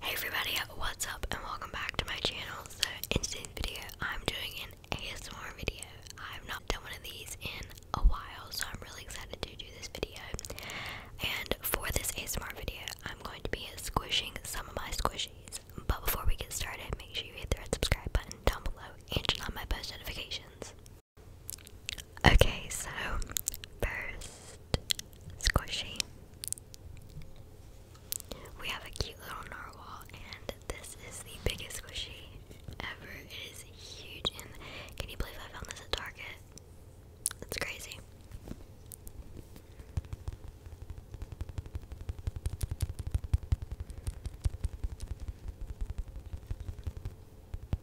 Hey everybody, what's up and welcome back to my channel. So in today's video, I'm doing an ASMR video. I've not done one of these in a while, so I'm really excited to do this video. And for this ASMR video, I'm going to be squishing some of my squishies. But before we get started, make sure you hit the red subscribe button down below and turn on my post notifications. Okay, so first squishy. We have a cute little narwhal, and this is the biggest squishy ever. It is huge, and can you believe I found this at Target? It's crazy.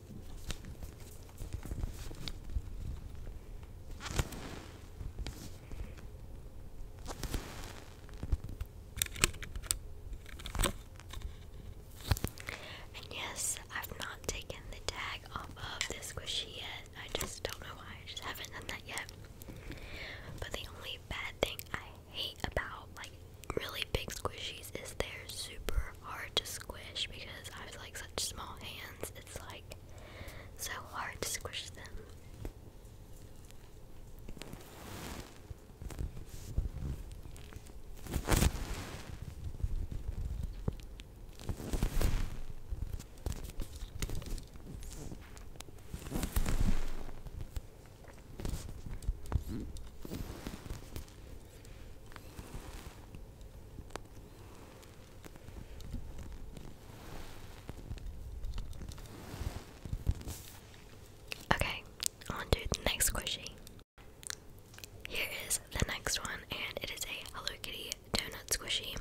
And yes, I've not taken the tag off of the squishy yet. I just don't know why. I just haven't done that yet. But the only bad thing I hate about like really big squishies is they're super hard to squish because I have like such small hands. It's like so hard to squish them. Okay, on the next squishy. Here is the next one, and it is a Hello Kitty donut squishy.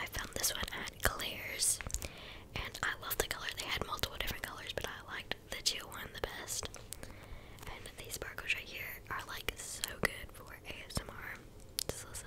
I found this one at Claire's, and I love the color. They had multiple different colors, but I liked liked the teal one the best. And these sparkles right here are like so good for ASMR. Just listen.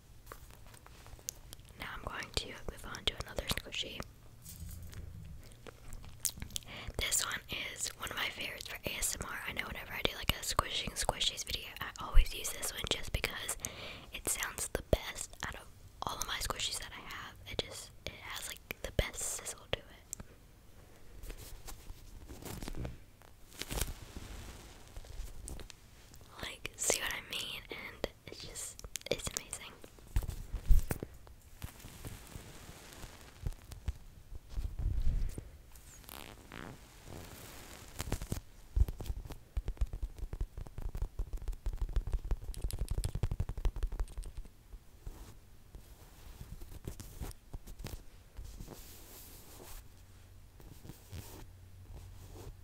Now I'm going to move on to another squishy. This one is one of my favorites for ASMR. I know whenever I do like a squishing squishies video, I always use this one just because it sounds the best out of all of my squishies that I have. It just it has like the best sizzle to it. Like, see what I mean? And it's just, it's amazing.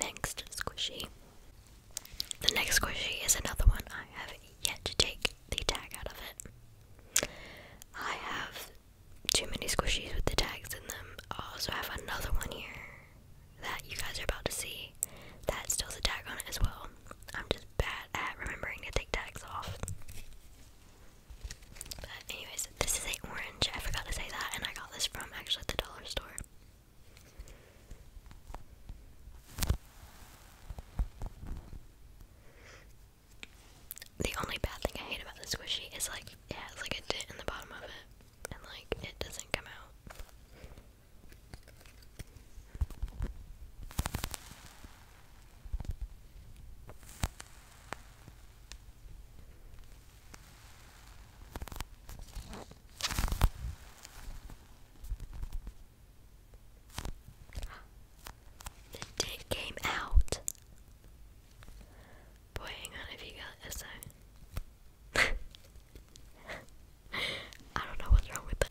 Next squishy. The next squishy is another one I have yet to take the tag out of it. I have too many squishies with the tags in them. I also have another one here that you guys are about to see that still has a tag on it as well. I'm just bad at remembering to take tags off. But anyways, this is a orange. I forgot to say that, and I got this from actually at the dollar store. The only bad thing I hate about the squishy is like it has like a dent in the bottom of it, and like it doesn't come out. The dent came out. Boy, hang on if you got SI. I don't know what's wrong with that.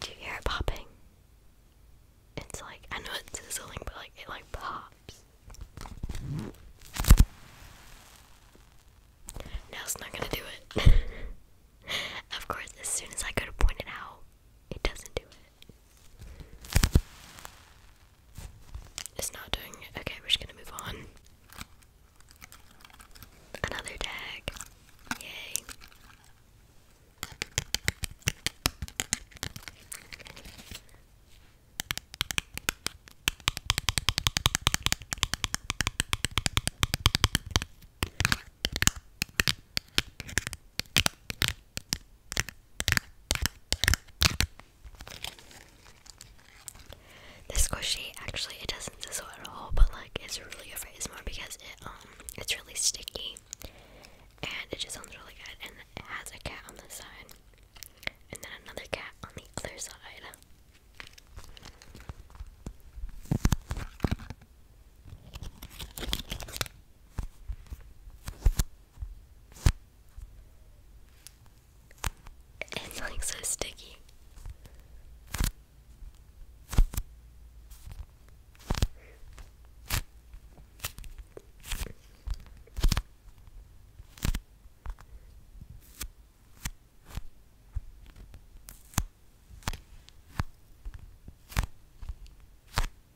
Do you hear it popping? It's like, I know it's sizzling, but like, it like pops. No, it's not gonna do it. of course, as soon as I go point it out, it doesn't do it. It's not doing it. Okay, we're just gonna move on. Another tag. Yay. This squishy actually it doesn't sizzle at all, but like it's really over. It's more because it um it's really sticky, and it just sounds really good. And it has a cat on the side, and then another cat on the other side. It's like so sticky.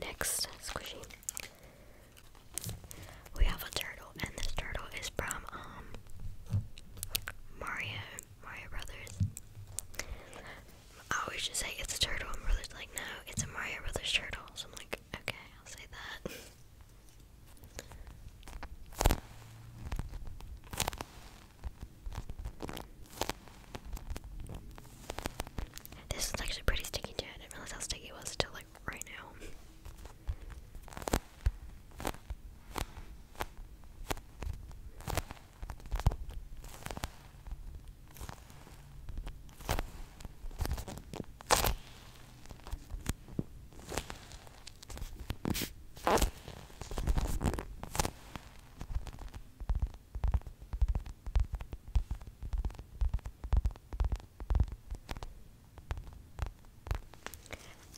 Next squishy, we have a turtle, and this turtle is from um Mario Mario Brothers. I always just say it's a turtle, and brother's like, no, it's a Mario Brothers turtle. I'm like, okay, I'll say that. This is actually pretty sticky too. I didn't realize how sticky it was until like right now.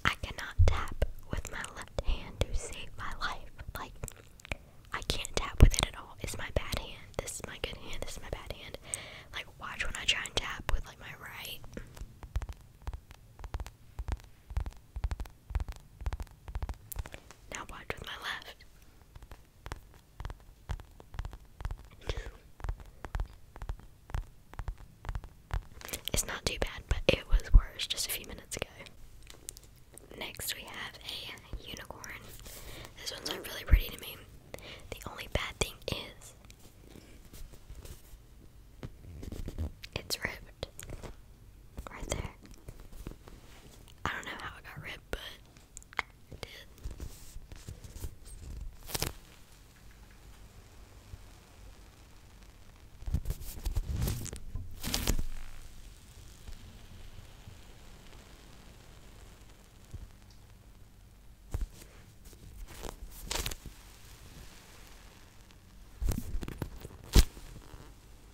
I cannot tap with my left hand to save my life. Like, I can't tap with it at all. It's my bad hand. This is my good hand. This is my bad hand. Like, watch when I try and tap with, like, my right. Now watch with my left. it's not too bad, but it was worse just a few minutes ago. Next, we have a unicorn. This one's not really pretty to me. The only bad thing is it's ripped. Right there. I don't know how it got ripped, but it did.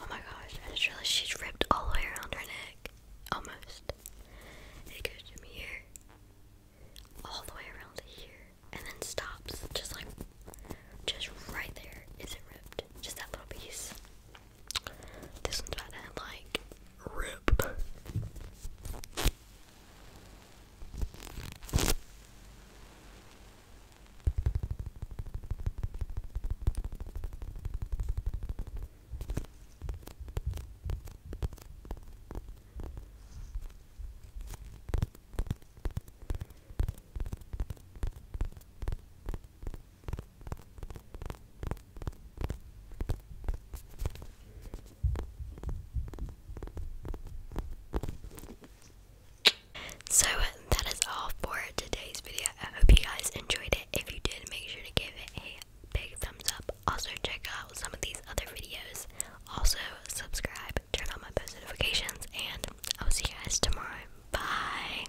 Oh my gosh, I just realized she's ripped all the way around her neck. Almost. It goes from here, all the way around here, and then stops just like, just right there. Is it ripped? Just that little piece. This one's about like Rip. So that is all for today's video. I hope you guys enjoyed it. If you did, make sure to give it a big thumbs up. Also, check out some of these other videos. Also, subscribe, turn on my post notifications, and I'll see you guys tomorrow. Bye!